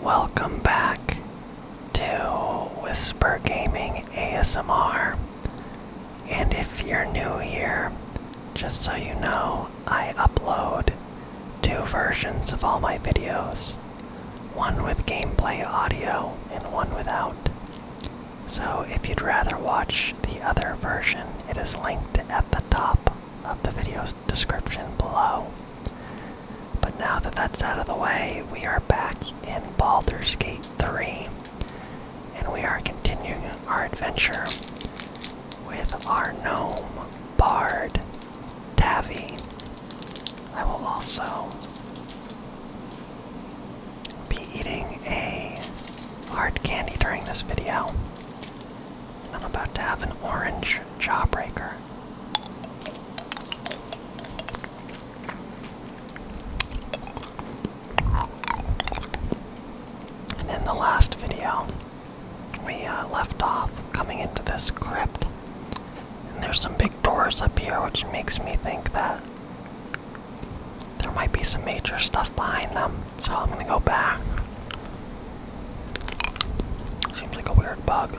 Welcome back to Whisper Gaming ASMR. And if you're new here, just so you know, I upload two versions of all my videos one with gameplay audio and one without. So if you'd rather watch the other version, it is linked at the top of the video's description below. But now that that's out of the way, we are back in Baldur's Gate 3, and we are continuing our adventure with our gnome bard, Davy. I will also be eating a hard candy during this video. I'm about to have an orange jawbreaker. And in the last video, we uh, left off coming into this crypt. And there's some big doors up here, which makes me think that there might be some major stuff behind them. So I'm gonna go back. Seems like a weird bug.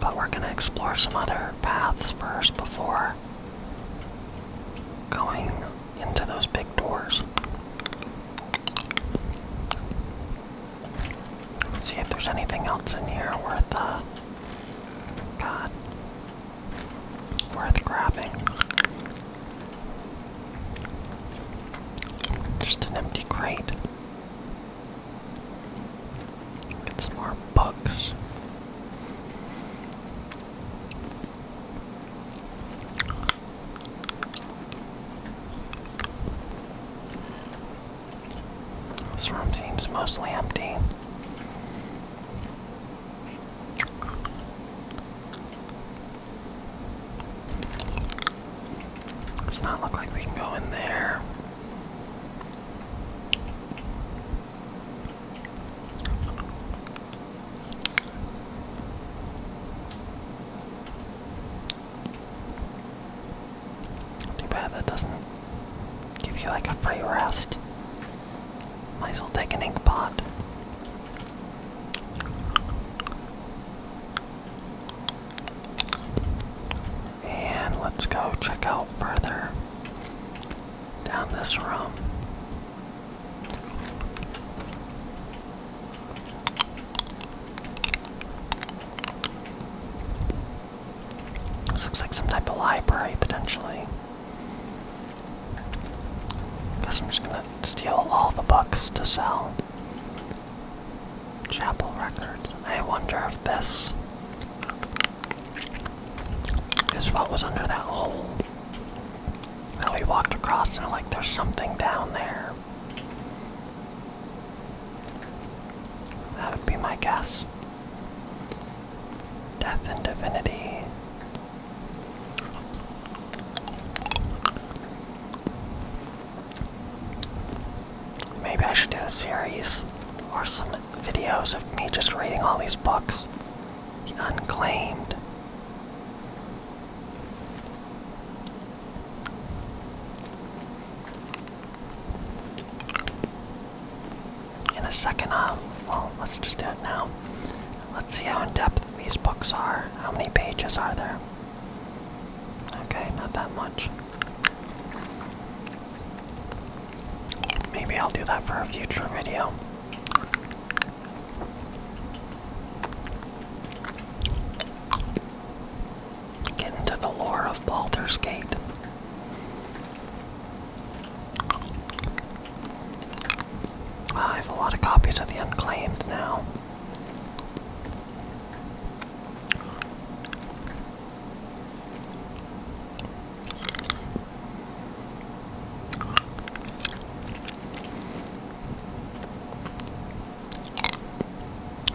But we're gonna explore some other paths first before going into those big doors. see if there's anything else in here worth, uh, God, worth grabbing. Just an empty crate. Get some more bugs. This room seems mostly empty. Does not look like we can go in there. Too bad that doesn't give you like a free rest. Might as well take an ink pot. And let's go check out further down this room. This looks like some type of library potentially. Guess I'm just gonna steal all the books to sell. Chapel Records. I wonder if this is what was under that hole that we walked across, and like there's something down there. That would be my guess. Death and Divinity. Maybe I should do a series or some videos of me just reading all these books. The Unclaimed. In a second, um, well, let's just do it now. Let's see how in depth these books are. How many pages are there? Okay, not that much. Maybe I'll do that for a future video. Get into the lore of Baldur's Gate. Ah, I have a lot of copies of the Unclaimed now.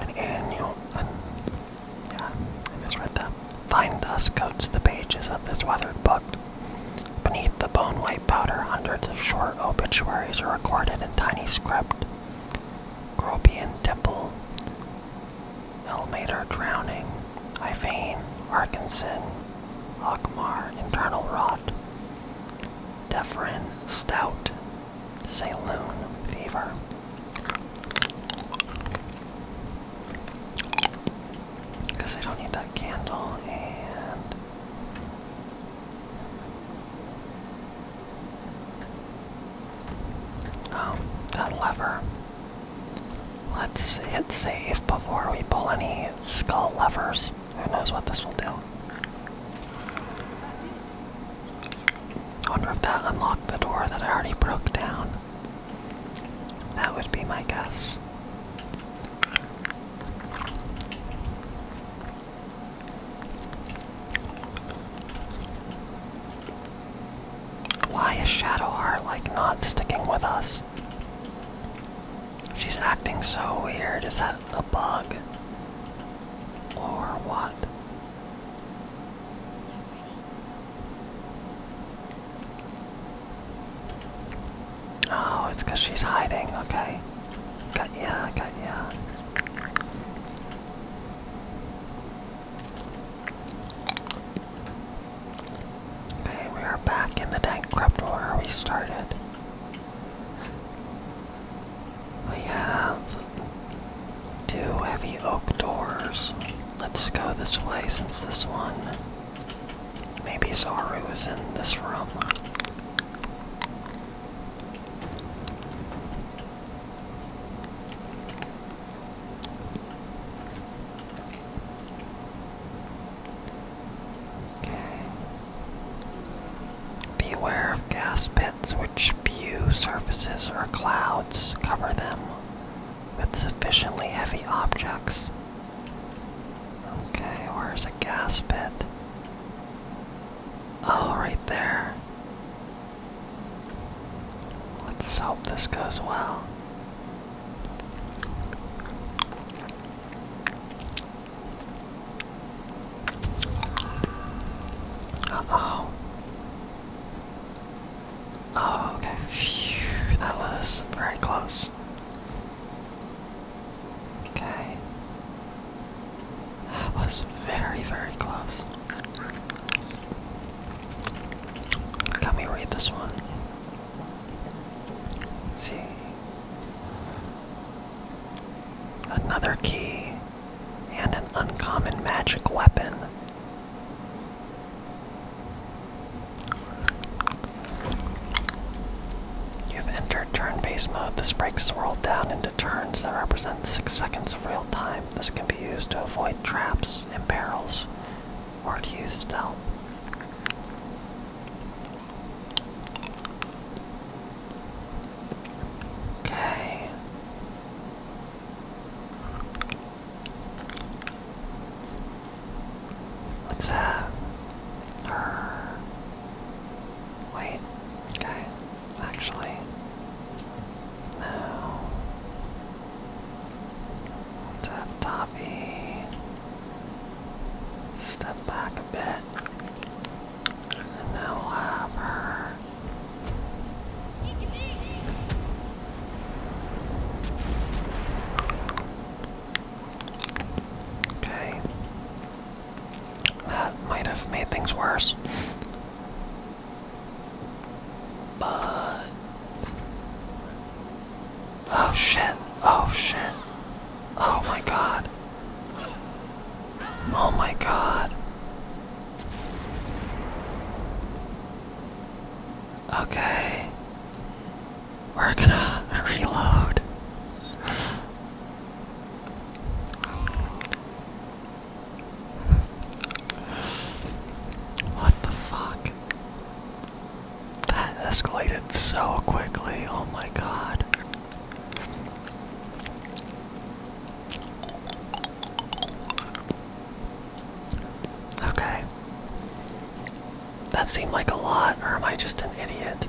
An annual, an, yeah, I read that. Fine dust coats the pages of this weathered book. Beneath the bone white powder, hundreds of short obituaries are recorded in tiny script. Grobian Temple, Elmater Drowning, Ivain, Arkinson, Akmar, Internal Rot, Defrin, Stout, Saloon, Fever. Because I don't need that candle um, that lever. Let's hit save before we pull any skull levers. Who knows what this will do? wonder if that unlocked the door that I already broke down. That would be my guess. Why is Shadow Heart like not sticking with us? She's acting so weird. Is that a bug? Or what? Oh, it's because she's hiding, okay. Got ya, got Okay, we are back in the dank crypt where we started. We have two heavy oak doors. Let's go this way since this one. Maybe Zaru is in this room. Okay. Beware of gas pits which few surfaces or clouds cover them with sufficiently heavy objects. Okay, where's a gas pit? Oh, right there. Let's hope this goes well. Uh oh. Oh, okay. Phew, that was very close. Okay. That was very, very close. Let me read this one. see. Another key and an uncommon magic weapon. You've entered turn-based mode. This breaks the world down into turns that represent 6 seconds of real time. This can be used to avoid traps and barrels, or to use stealth. Okay. Let's Wait, okay. Actually, no. let Toffee step back a bit, and now we'll have her. Okay. That might have made things worse. But. Oh shit. Oh shit. Oh my god. Oh my god. Okay. We're gonna reload. What the fuck? That escalated so quickly, oh my god. Okay. That seemed like a lot, or am I just an idiot?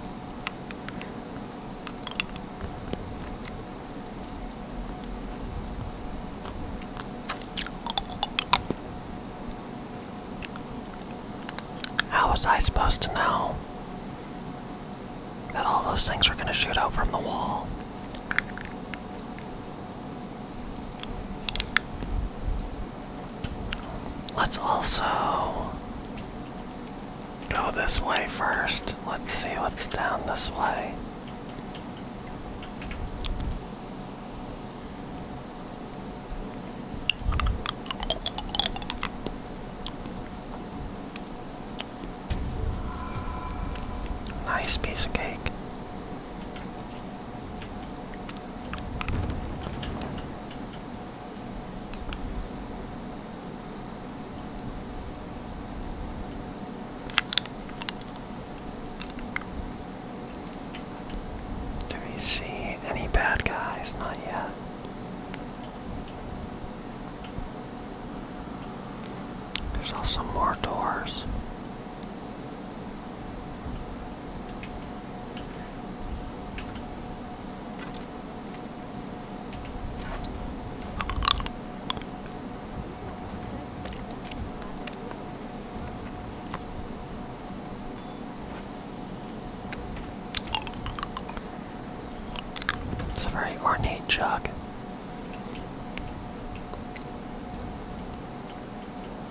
How was I supposed to know that all those things were going to shoot out from the wall? Let's also Go this way first. Let's see what's down this way. Nice piece of cake. Do we see any bad guys? Not yet. There's also more doors. It's a very ornate jug.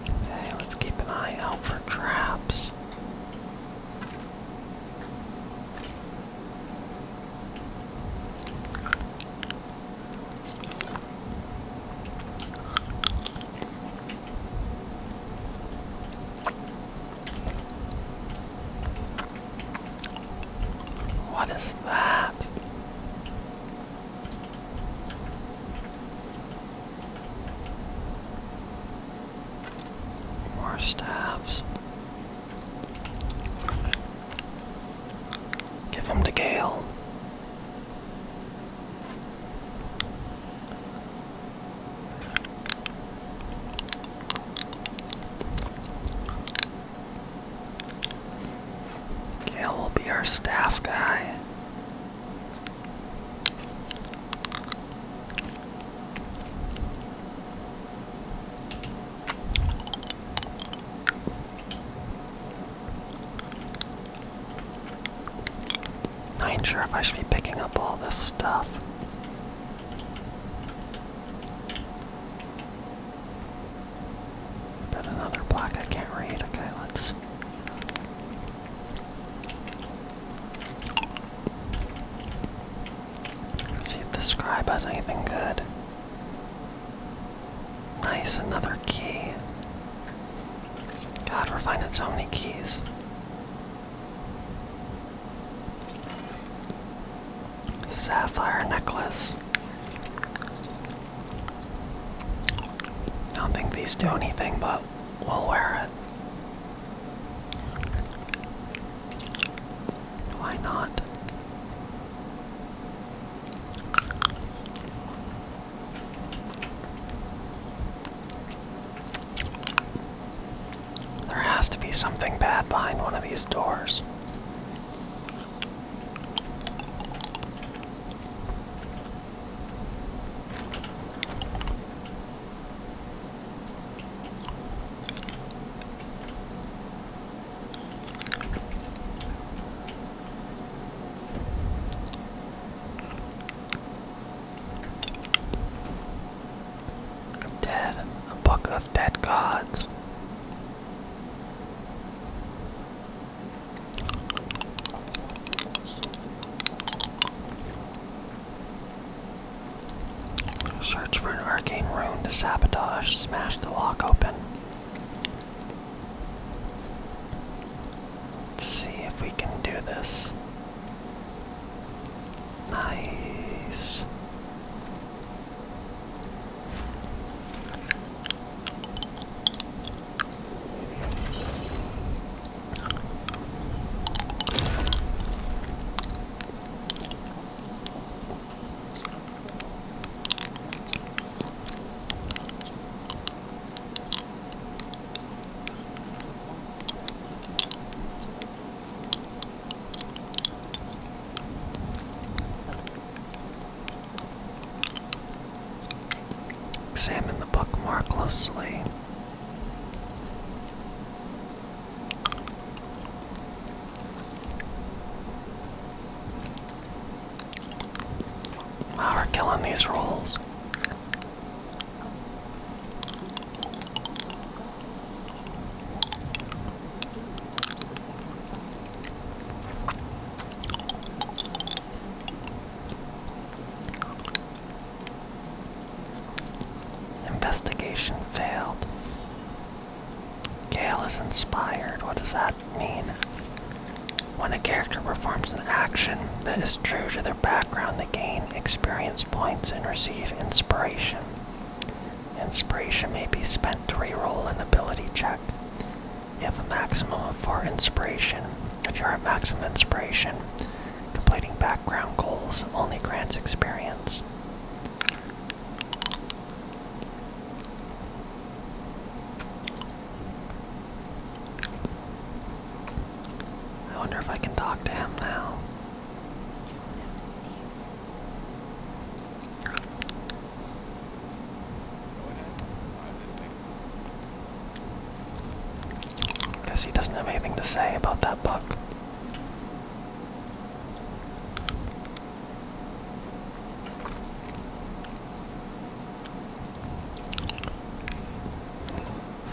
Okay, let's keep an eye out for traps. What is that? More stabs. Give him to Gale. Gale will be our staff guy. I ain't sure if I should be picking up all this stuff. But another block I can't read. Okay, let's. Let's see if the scribe has anything good. Nice, another key. God, we're finding so many keys. Sapphire necklace. I don't think these do anything, but we'll wear it. Why not? There has to be something bad behind one of these doors. Dead, a book of dead gods. Search for an arcane rune to sabotage. Smash the lock open. Let's see if we can do this. Nice. Examine the book more closely. Wow, we're killing these rolls. Investigation failed. Gale is inspired. What does that mean? When a character performs an action that is true to their background, they gain experience points and receive inspiration. Inspiration may be spent to reroll an ability check. You have a maximum of 4 inspiration. If you're at maximum inspiration, completing background goals only grants experience. I wonder if I can talk to him now. Guess he doesn't have anything to say about that book.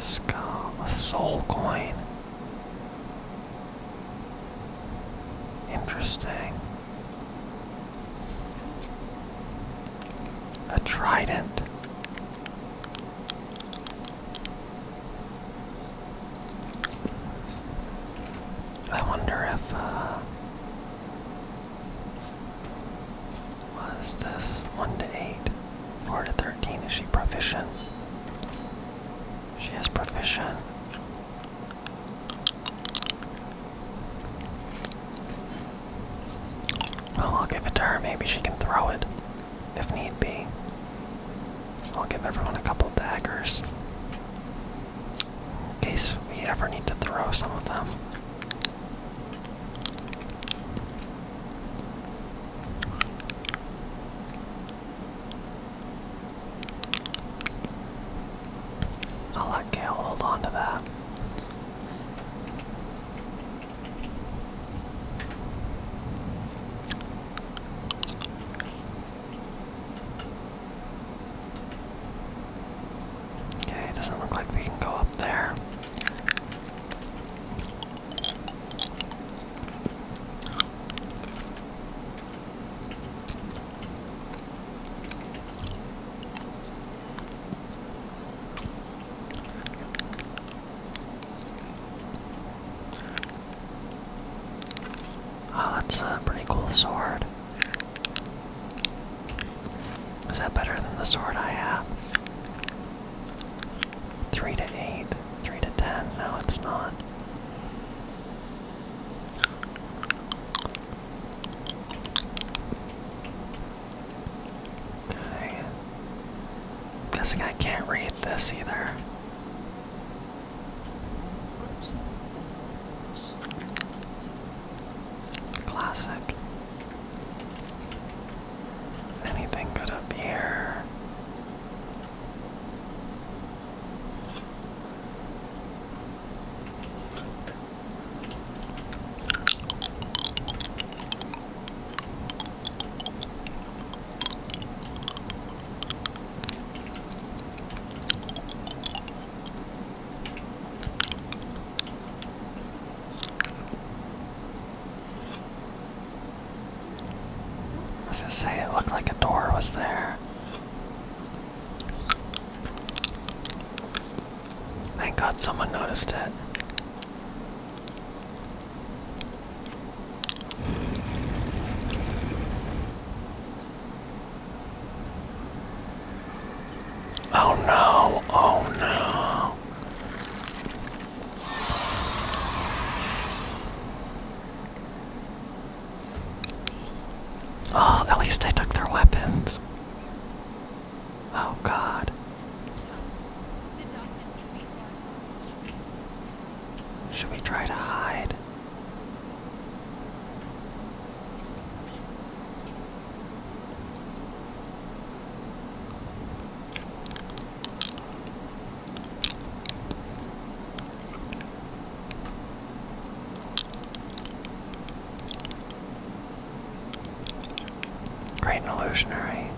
Skull, a soul coin. Interesting. A trident. I wonder if, uh, what is this? 1 to 8, 4 to 13. Is she proficient? She is proficient. Well, I'll give it to her. Maybe she can throw it if need be. I'll give everyone a couple daggers in case we ever need to throw some of them. I'll let Gale hold on that. Okay, doesn't look like we can go up there. Oh, that's a pretty cool sword. Is that better than the sword I have? 3 to 8, 3 to 10. No, it's not. Okay. guessing I can't read this either. Classic. Anything good up here? I was gonna say it looked like a door was there. Thank God someone noticed it. Oh no, oh no. Oh, at least I took their weapons. Oh god. Should we try to hide? Great and illusionary.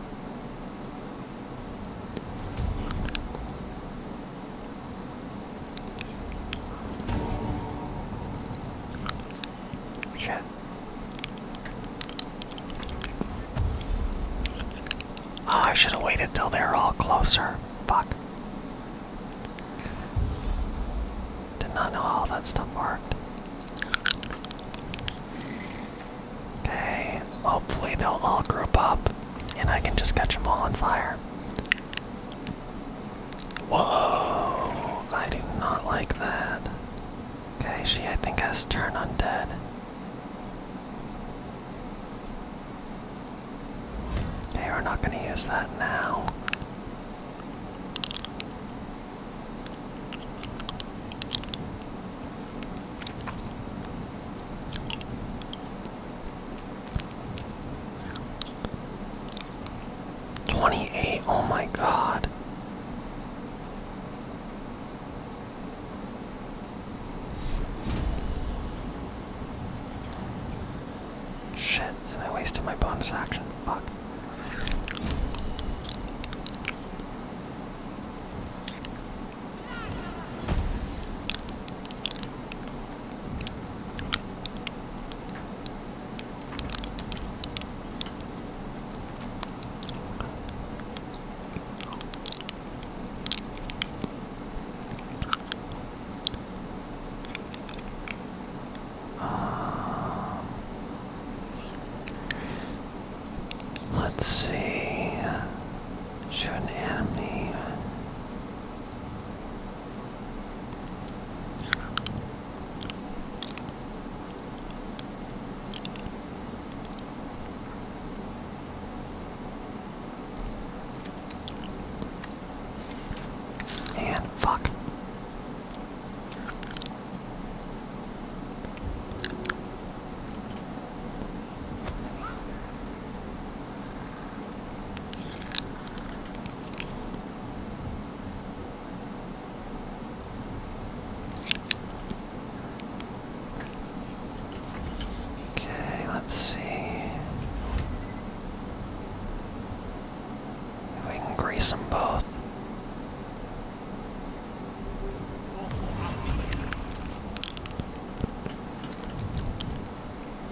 Shit. Oh, I should have waited till they're all closer. Fuck. Did not know all that stuff worked. Okay, hopefully they'll all group up and I can just catch them all on fire. Whoa! I do not like that. Okay, she I think has turned undead. Okay, are not gonna use that now. 28, oh my god. Shit, and I wasted my bonus action. Fuck. Um, let's see. Shoot an enemy. Yeah. fuck. Okay, let's see we can grease them both.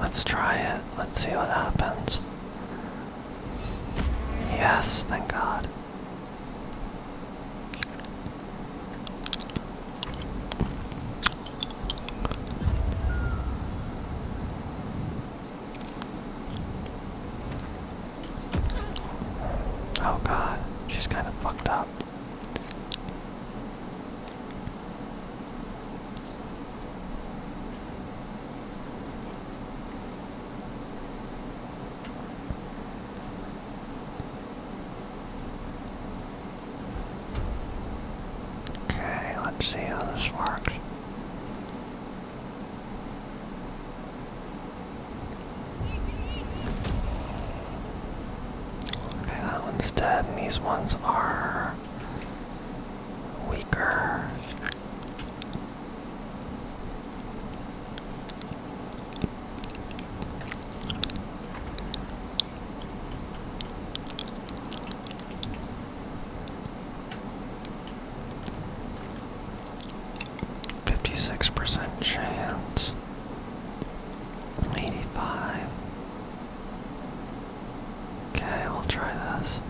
Let's try it. Let's see what happens. Yes, thank God. Oh god, she's kind of fucked up. Okay, let's see how this works. Okay, that one's dead, these ones are weaker. Fifty six percent chance, eighty five, Okay, we'll try this.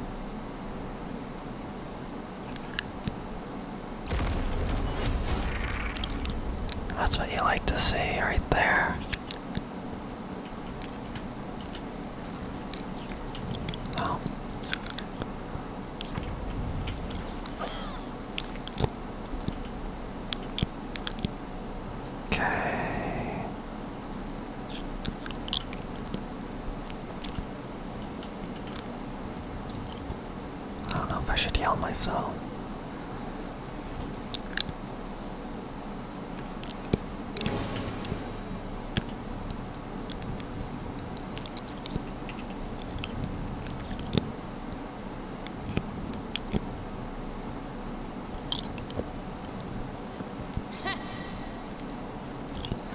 That's what you like to see right there. Oh. Okay. I don't know if I should yell myself.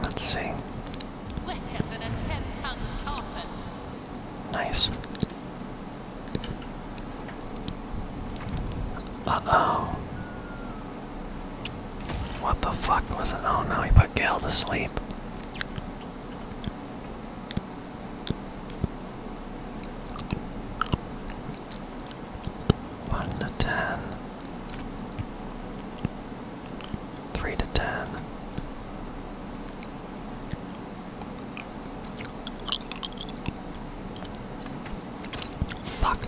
Let's see. Wetter than a ten-ton tarpon. Nice. Uh-oh. What the fuck was it? Oh no, he put Gale to sleep. 1 to 10, 3 to 10. Fuck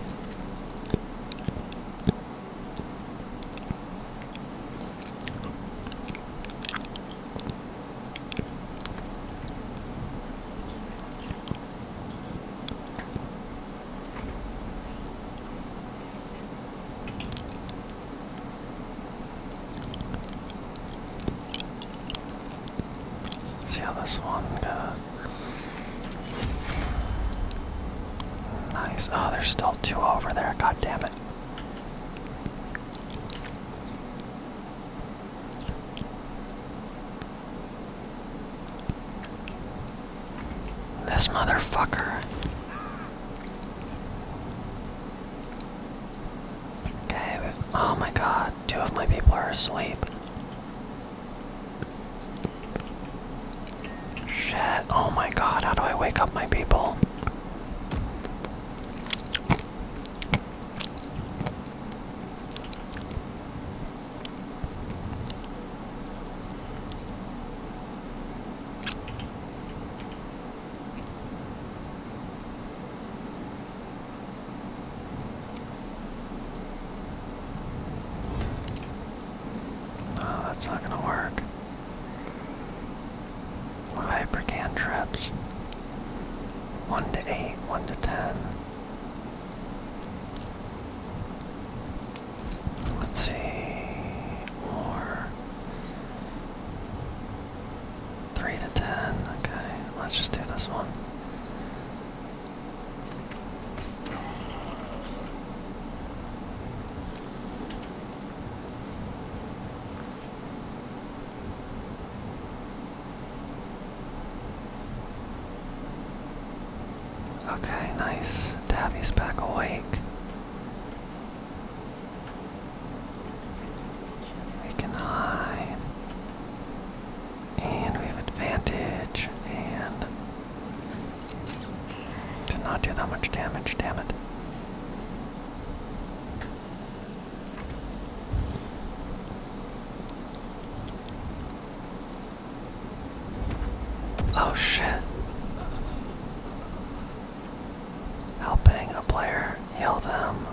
see how this one goes. Nice. Oh, there's still two over there. God damn it. This motherfucker. Okay, oh my god, two of my people are asleep. Shit, oh my god, how do I wake up my people? No, ah, that's not gonna work. Hypercantrips. One to eight, one to ten. Let's see, or three to ten. Okay, let's just do this one. Okay, nice. Davy's back awake. We can hide. And we have advantage. And. Did not do that much damage, damn it. Oh shit. Helping a player heal them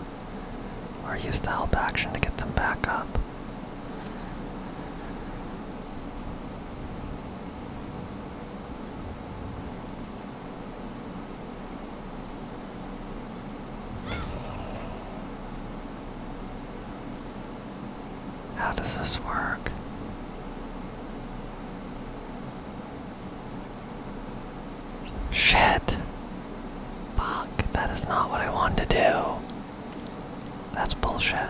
or use the help action to get them back up. How does this work? Shit. Fuck, that is not what I wanted to do. That's bullshit.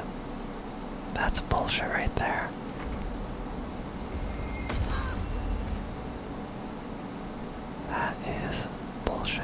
That's bullshit right there. That is bullshit.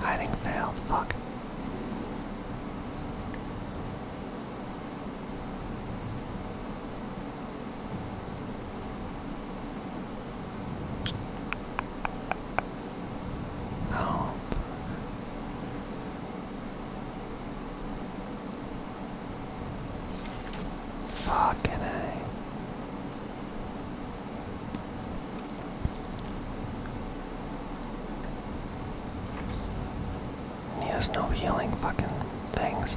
Hiding failed, fuck. Nope. Oh. Fucking A. he has no healing fucking things.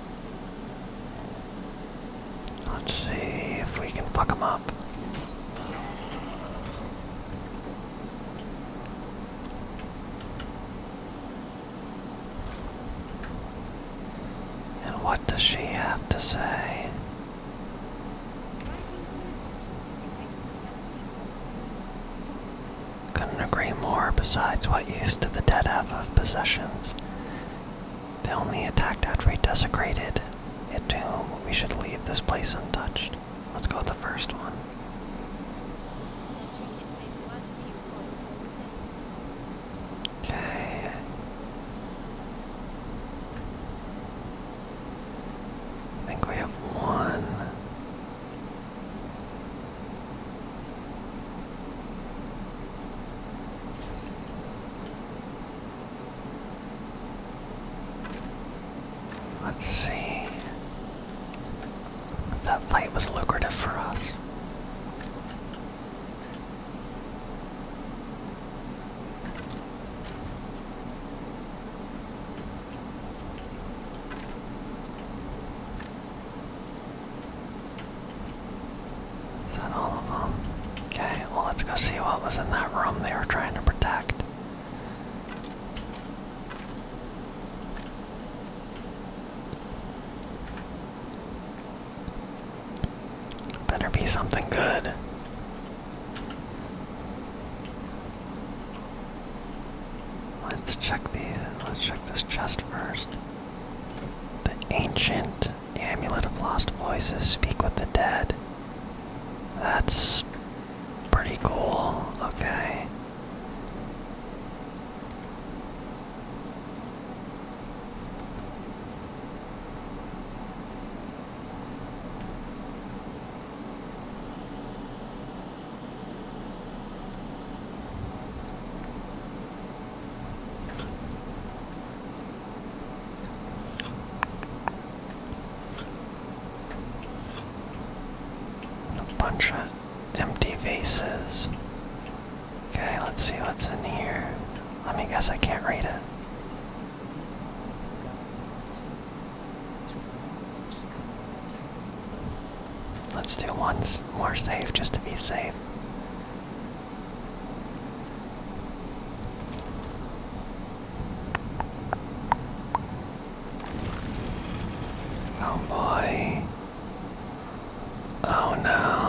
Let's see if we can fuck them up. And what does she have to say? Couldn't agree more, besides what use to the dead have of possessions? The only attacked after we desecrated a tomb. We should leave this place untouched. Let's go with the first one. Okay. I think we have one. Let's see. That fight was lucrative for us. Is that all of them? Okay, well let's go see what was in that room they were trying to protect. Better be something good. Let's check the let's check this chest first. The ancient Amulet of Lost Voices, Speak with the Dead. That's pretty cool. Okay. A bunch of empty vases. Okay, let's see what's in here. Let me guess, I can't read it. Let's do one more Safe, just to be safe. Oh boy. Oh no.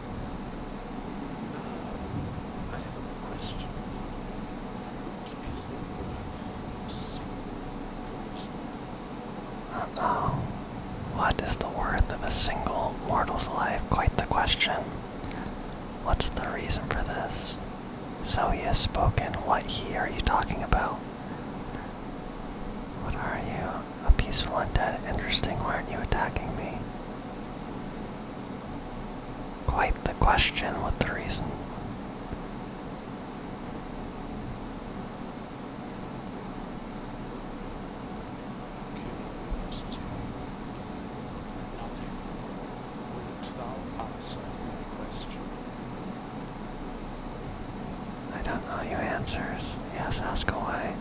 I have a question for you. What is the worth of a single mortal's life? Quite the question. What's the reason for this? So he has spoken. What he are you talking about? What are you? A peaceful undead. Interesting. Why aren't you attacking me? Quite the question with the reason. I don't know your answers. Yes, ask away.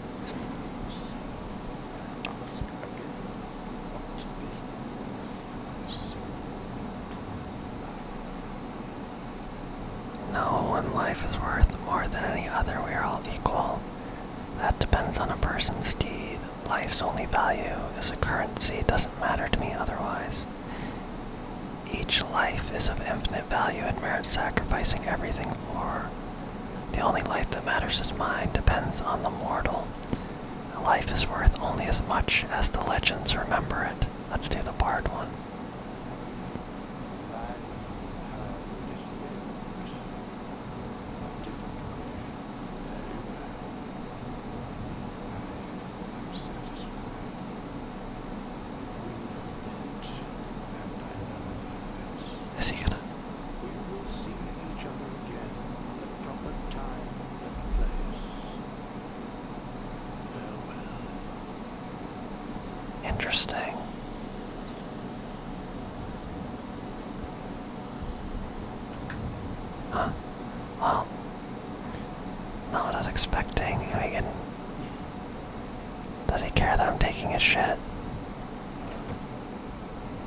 No one life is worth more than any other. We are all equal. That depends on a person's deed. Life's only value as a currency. doesn't matter to me otherwise. Each life is of infinite value and merits sacrificing everything for. The only life that matters is mine depends on the mortal. Life is worth only as much as the legends remember it. Let's do the barred one. Is he gonna? We will see each other again at the proper time and place. Farewell. Interesting. Huh. Well, not what I was expecting. I Does he care that I'm taking his shit?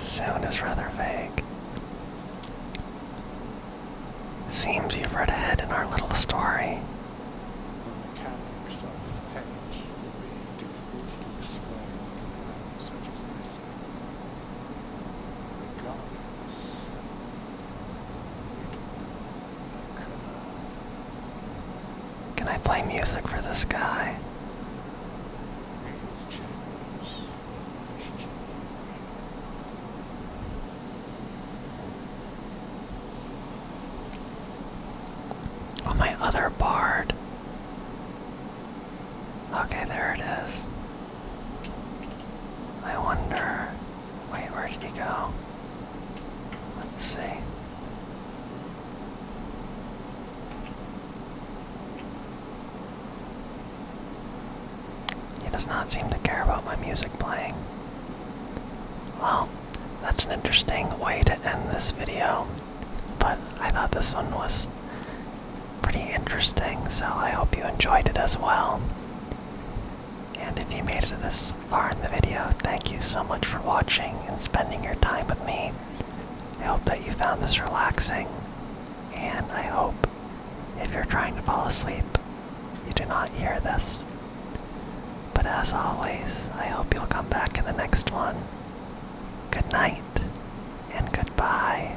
Sound is rather vague. Seems you've read ahead in our little story. The mechanics of fate will be difficult to explain can I play music for this guy? Oh, my other bard. Okay, there it is. I wonder Wait, where did he go? Let's see. He does not seem to care about my music playing. Well, that's an interesting way to end this video, but I thought this one was pretty interesting, so I hope you enjoyed it as well. And if you made it this far in the video, thank you so much for watching and spending your time with me. I hope that you found this relaxing, and I hope if you're trying to fall asleep, you do not hear this. But as always, I hope you'll come back in the next one. Good night, and goodbye.